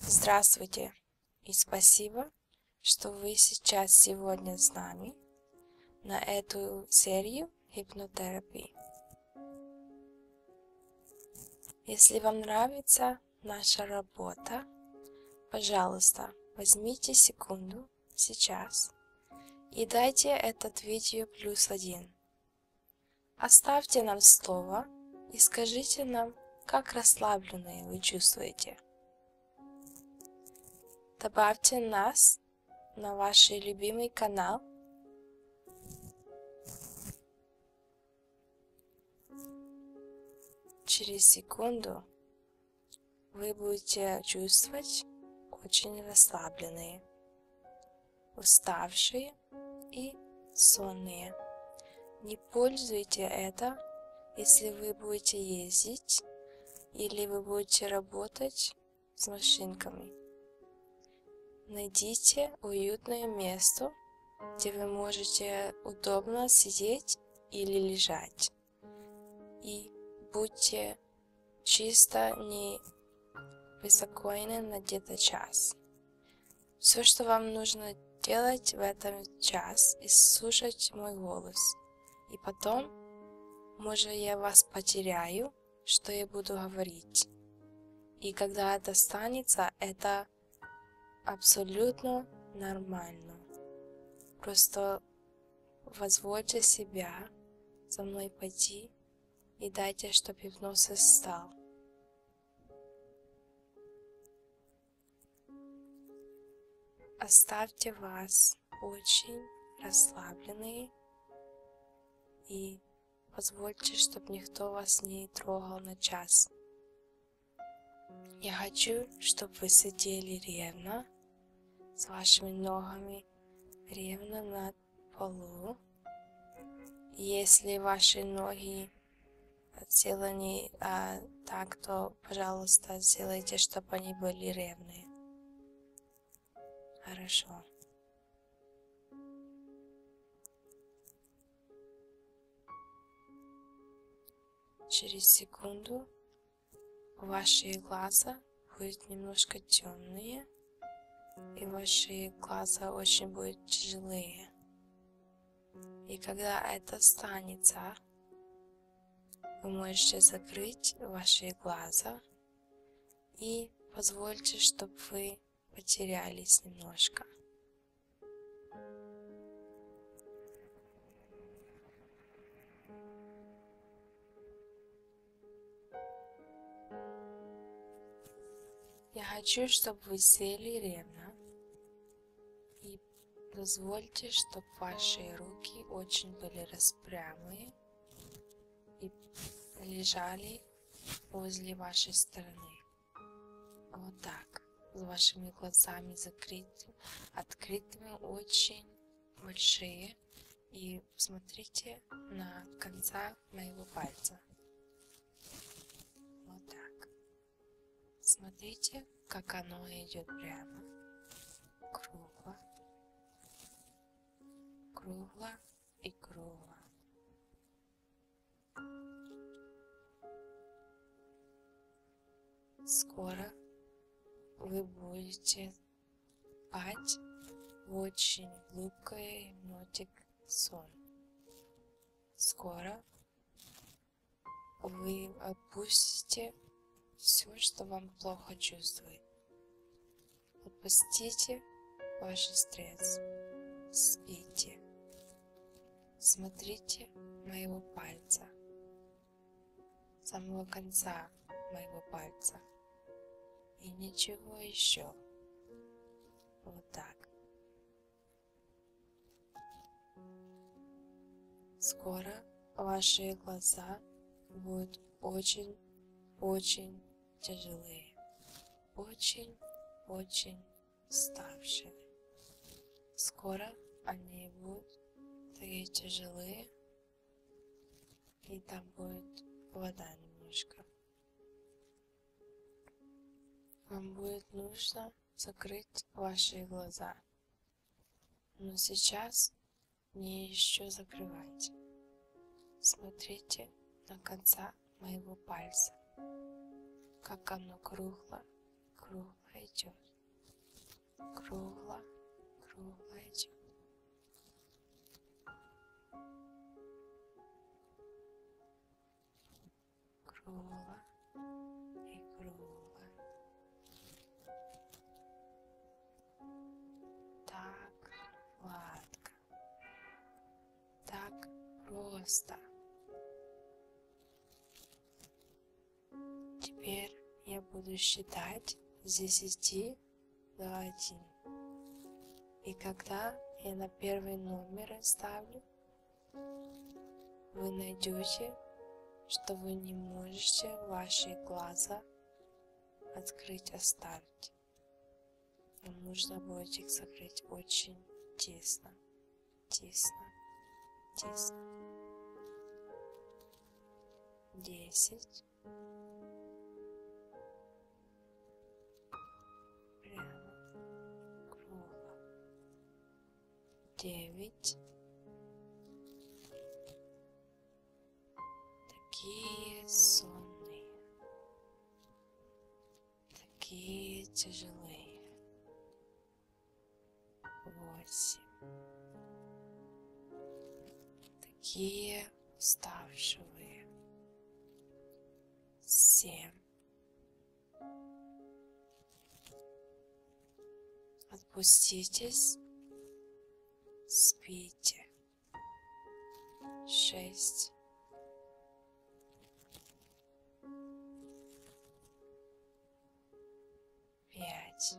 Здравствуйте и спасибо, что вы сейчас сегодня с нами на эту серию гипнотерапии. Если вам нравится наша работа, пожалуйста, возьмите секунду сейчас и дайте этот видео плюс один Оставьте нам слово и скажите нам, как расслабленные вы чувствуете. Добавьте нас на ваш любимый канал. Через секунду вы будете чувствовать очень расслабленные, уставшие больные и сонные. Не пользуйте это, если вы будете ездить или вы будете работать с машинками. Найдите уютное место, где вы можете удобно сидеть или лежать. И будьте чисто не беспокойны на где-то час. Все, что вам нужно делать в этом час, и слушать мой голос. И потом, может, я вас потеряю, что я буду говорить. И когда это станется, это абсолютно нормально. Просто возвольте себя за мной пойти и дайте, чтобы гипноз стал. Оставьте вас очень расслабленные и позвольте, чтобы никто вас не трогал на час. Я хочу, чтобы вы сидели ревно с вашими ногами ревно на полу. Если ваши ноги сделаны а, так, то, пожалуйста, сделайте, чтобы они были ревные. Хорошо. Через секунду ваши глаза будут немножко темные, и ваши глаза очень будут тяжелые. И когда это станется, вы можете закрыть ваши глаза и позвольте, чтобы вы потерялись немножко. Я хочу, чтобы вы сели ровно и позвольте, чтобы ваши руки очень были распрямые и лежали возле вашей стороны. Вот так. С вашими глазами закрытыми, открытыми, очень большие. И смотрите на конца моего пальца. Вот так. Смотрите, как оно идет прямо, кругло, кругло и кругло. Скоро вы будете спать в очень глубокой нотик сон. Скоро вы отпустите все, что вам плохо чувствует. Отпустите ваш стресс. Спите. Смотрите моего пальца. Самого конца моего пальца. И ничего еще. Вот так. Скоро ваши глаза будут очень-очень тяжелые, очень-очень уставшие. Скоро они будут такие тяжелые, и там будет вода немножко. Вам будет нужно закрыть ваши глаза. Но сейчас мне еще закрывать. Смотрите на конца моего пальца, как оно кругло, кругло идет. Кругло, кругло идет кругло і кругло. Так гладко, так просто. Теперь я буду считать с 10 до 1. И когда я на первый номер ставлю, вы найдете, что вы не можете ваши глаза открыть останки. А Вам нужно будет их закрыть очень тесно, тесно, тесно. Десять. Прямо, кругло, девять. Такие сонные, такие тяжелые. Восемь. Такие уставшие. Семь. Отпуститесь, спите. Шесть. Пять.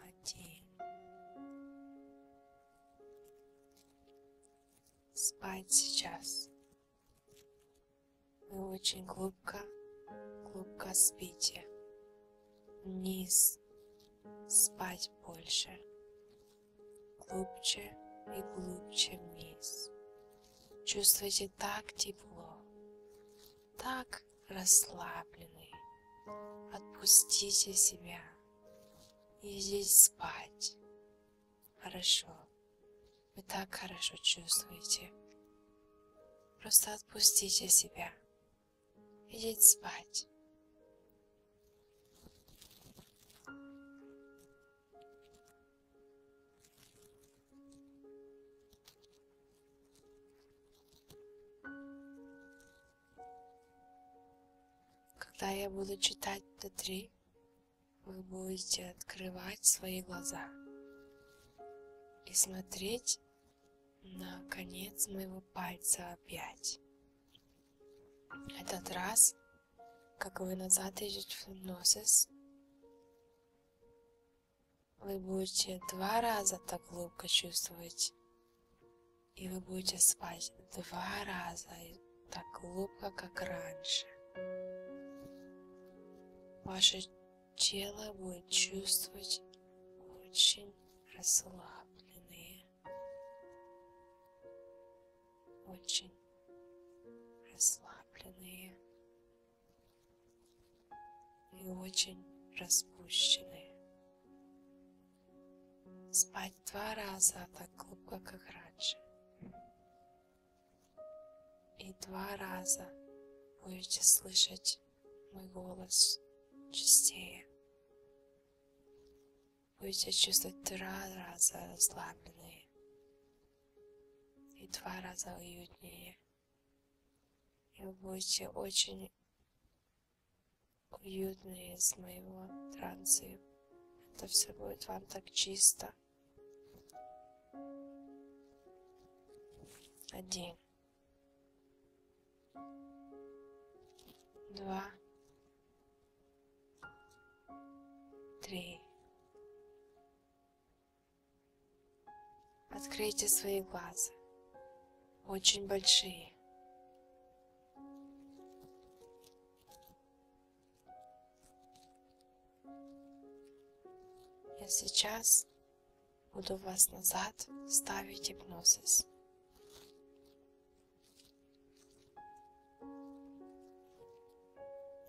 один. Спать сейчас. Вы очень глубоко, глубоко спите. Вниз. Спать больше. Глубже и глубже вниз чувствуете так тепло, так расслабленный. Отпустите себя и здесь спать. Хорошо. Вы так хорошо чувствуете. Просто отпустите себя. Идите спать. Когда я буду читать до три, вы будете открывать свои глаза и смотреть на конец моего пальца опять. Этот раз, как вы назад идете в носис, вы будете два раза так глубоко чувствовать. И вы будете спать два раза так глубоко, как раньше. Ваше тело будет чувствовать очень расслабленные, очень расслабленные и очень распущенные. Спать два раза а так глубоко, как раньше. И два раза будете слышать мой голос частее. Будете чувствовать два раза расслабленные и два раза уютнее. И вы будете очень уютные из моего транса. Это все будет вам так чисто. Один. Два. Три. Откройте свои глаза, очень большие. Я сейчас буду вас назад ставить гипнозис.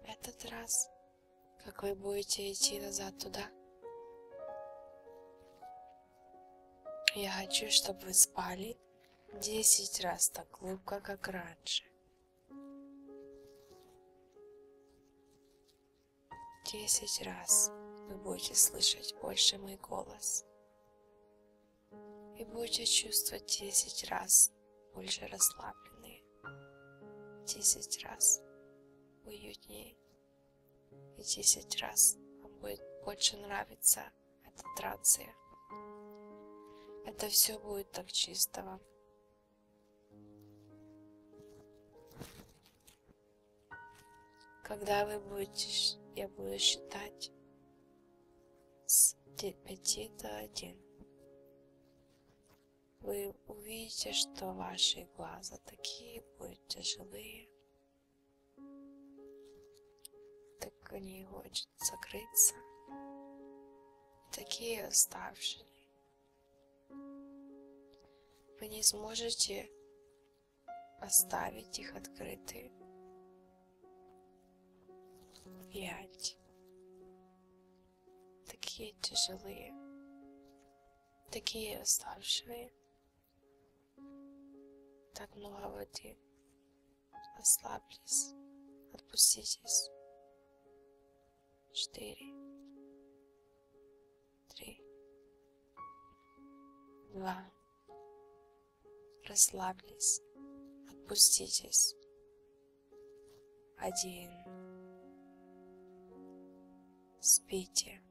этот раз как вы будете идти назад туда. Я хочу, чтобы вы спали десять раз так глубоко, как раньше. Десять раз вы будете слышать больше мой голос и будете чувствовать десять раз раз больше расслабленные, в десять раз уютнее и десять раз вам будет больше нравиться эта трация. Это все будет так чисто вам. Когда вы будете, я буду считать с 5 до 1 вы увидите, что ваши глаза такие будут тяжелые, так они хочет закрыться, такие уставшие. Вы не сможете оставить их открытые. Пять такие тяжелые, такие уставшие. Так много воды. Ослаблись, отпуститесь. Четыре, три, два. Расслаблись, отпуститесь один. Спите.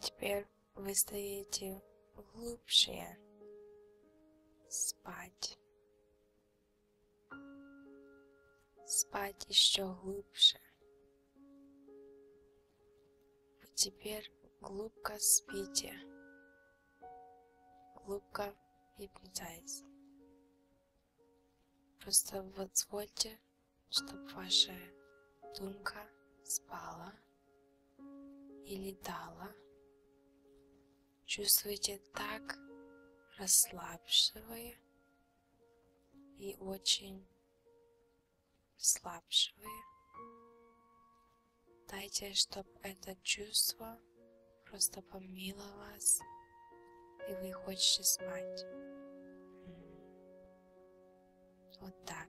Теперь вы стоите глубже спать спать еще глубже. Вы теперь глубоко спите, глубоко гипнотайз. Просто позвольте, чтобы ваша думка спала и летала. Чувствуйте так, расслабшивая и очень слабшие. Дайте, чтобы это чувство просто помило вас, и вы хотите спать. Вот так.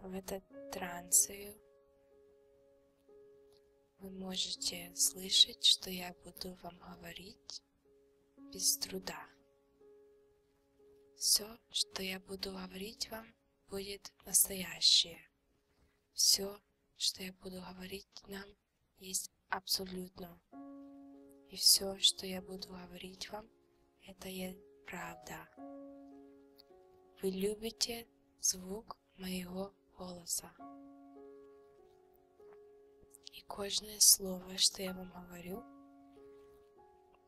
В этот трансе вы можете слышать, что я буду вам говорить без труда. Все, что я буду говорить вам, будет настоящее. Все, что я буду говорить нам, есть абсолютно. И все, что я буду говорить вам, это есть правда. Вы любите звук моего голоса. И каждое слово, что я вам говорю,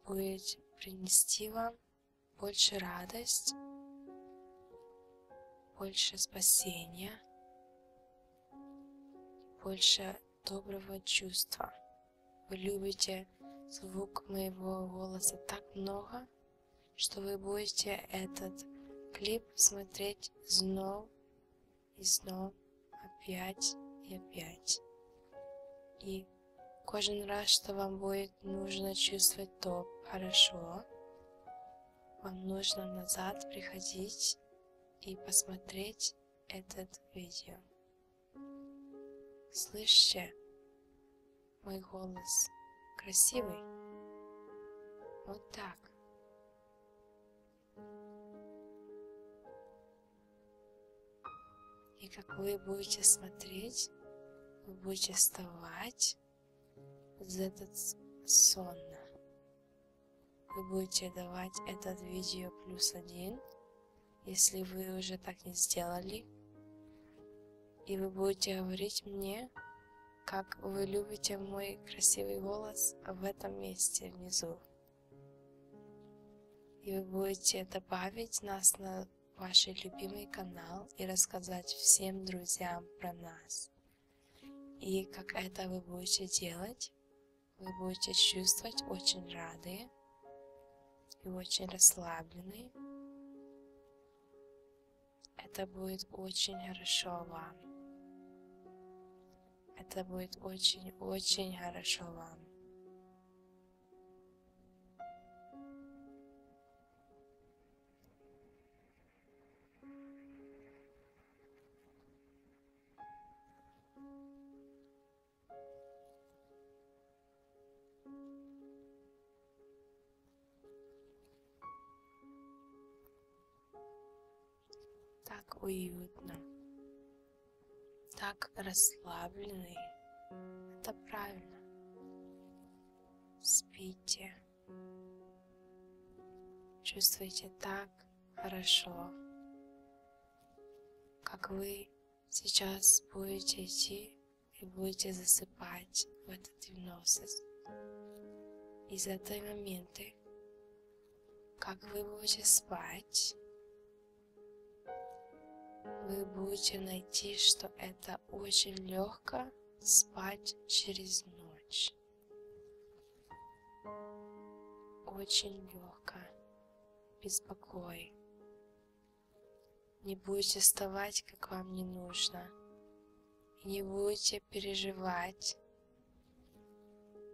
будет принести вам больше радость, больше спасения, больше доброго чувства. Вы любите звук моего голоса так много, что вы будете этот клип смотреть снова и снова опять и опять. И кожен раз, что вам будет нужно чувствовать то хорошо, вам нужно назад приходить и посмотреть этот видео. Слышите мой голос? Красивый? Вот так. И как вы будете смотреть, вы будете вставать за этот сон. Вы будете давать этот видео плюс один, если вы уже так не сделали. И вы будете говорить мне, как вы любите мой красивый голос в этом месте внизу. И вы будете добавить нас на ваш любимый канал и рассказать всем друзьям про нас. И как это вы будете делать, вы будете чувствовать очень рады и очень расслаблены. Это будет очень хорошо вам. Это будет очень-очень хорошо вам. Так уютно так расслабленный. Это правильно. Спите. Чувствуйте так хорошо, как вы сейчас будете идти и будете засыпать в этот гипноз. И за те моменты, как вы будете спать, вы будете найти, что это очень легко спать через ночь. Очень легко, без покоя. Не будете вставать, как вам не нужно. И не будете переживать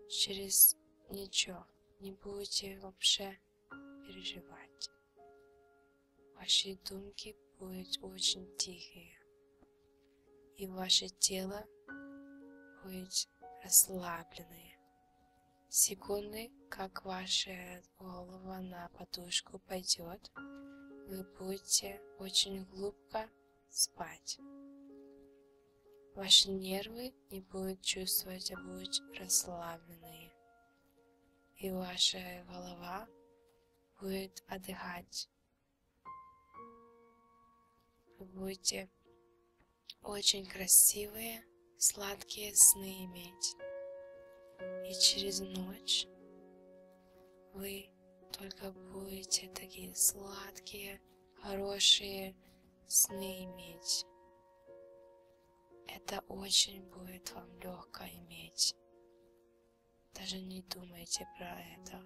через ничего. Не будете вообще переживать. Ваши думки будут очень тихие, и ваше тело будет расслабленное. Секунды, как ваша голова на подушку пойдет, вы будете очень глубоко спать. Ваши нервы не будут чувствовать, а будут расслабленные и ваша голова будет отдыхать. Вы будете очень красивые, сладкие сны иметь. И через ночь вы только будете такие сладкие, хорошие сны иметь. Это очень будет вам легко иметь. Даже не думайте про это.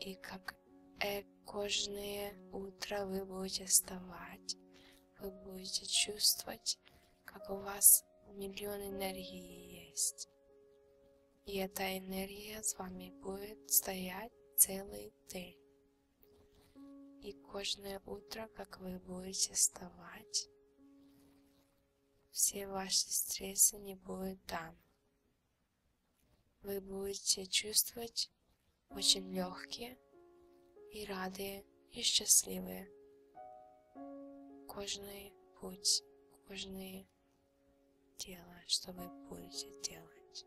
И как э кожное утро вы будете вставать, вы будете чувствовать, как у вас миллион энергии есть. И эта энергия с вами будет стоять целый день. И каждое утро, как вы будете вставать, все ваши стрессы не будут там. Вы будете чувствовать очень легкие и радые и счастливые. Кожный путь, кожные дело, что вы будете делать.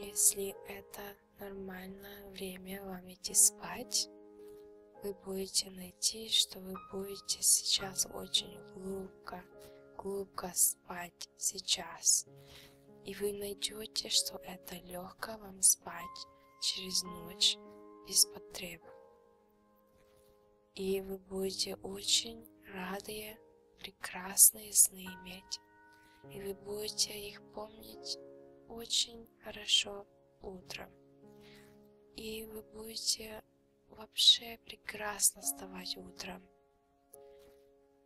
Если это нормально, время вам идти спать, вы будете найти, что вы будете сейчас очень глубоко, глубоко спать сейчас. И вы найдете, что это легко вам спать через ночь без потребы. И вы будете очень радые, прекрасные сны иметь. И вы будете их помнить очень хорошо утром. И вы будете вообще прекрасно вставать утром.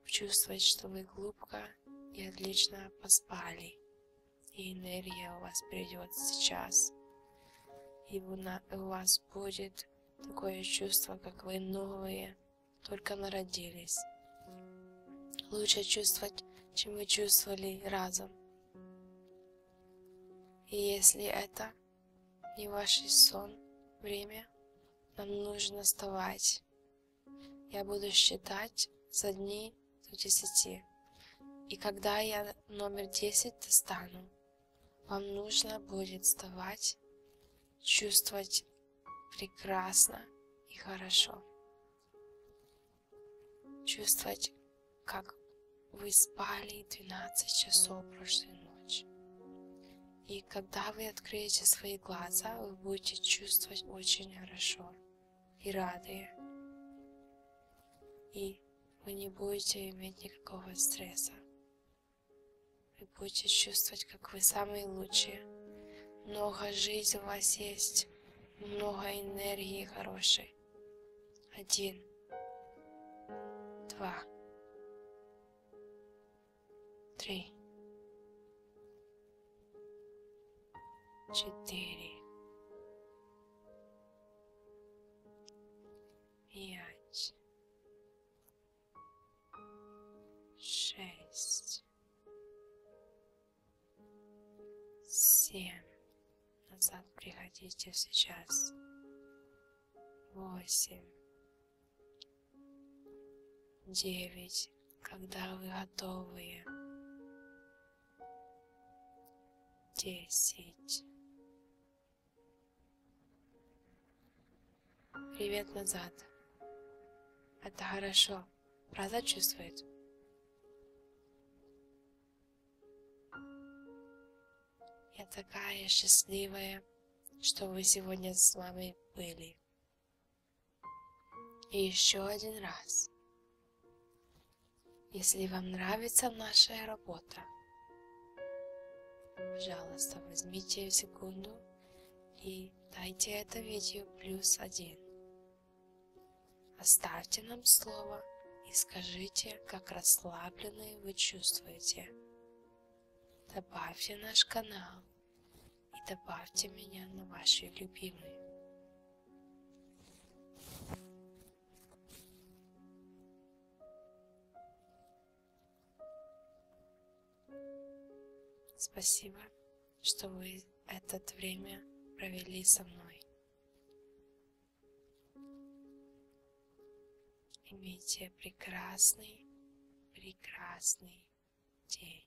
Чувствовать, что вы глубоко и отлично поспали. И энергия у вас придет сейчас. И у вас будет такое чувство, как вы новые, только народились. Лучше чувствовать, чем вы чувствовали разом. И если это не ваш сон, время, нам нужно вставать. Я буду считать за дни до десяти. И когда я номер десять достану, вам нужно будет вставать, чувствовать прекрасно и хорошо чувствовать, как вы спали 12 часов прошлой ночи. И когда вы откроете свои глаза, вы будете чувствовать очень хорошо и рады. И вы не будете иметь никакого стресса. Вы будете чувствовать, как вы самые лучшие. Много жизни у вас есть, много энергии хорошей один, два, три, четыре, пять, шесть, семь назад приходите сейчас. Восемь. Девять. Когда вы готовы. Десять. Привет назад. Это хорошо. Правда чувствует? Я такая счастливая, что вы сегодня с мамой были. И еще один раз. Если вам нравится наша работа, пожалуйста, возьмите секунду и дайте это видео плюс один. Оставьте нам слово и скажите, как расслабленные вы чувствуете. Добавьте наш канал и добавьте меня на ваши любимые. Спасибо, что вы это время провели со мной. Имейте прекрасный, прекрасный день.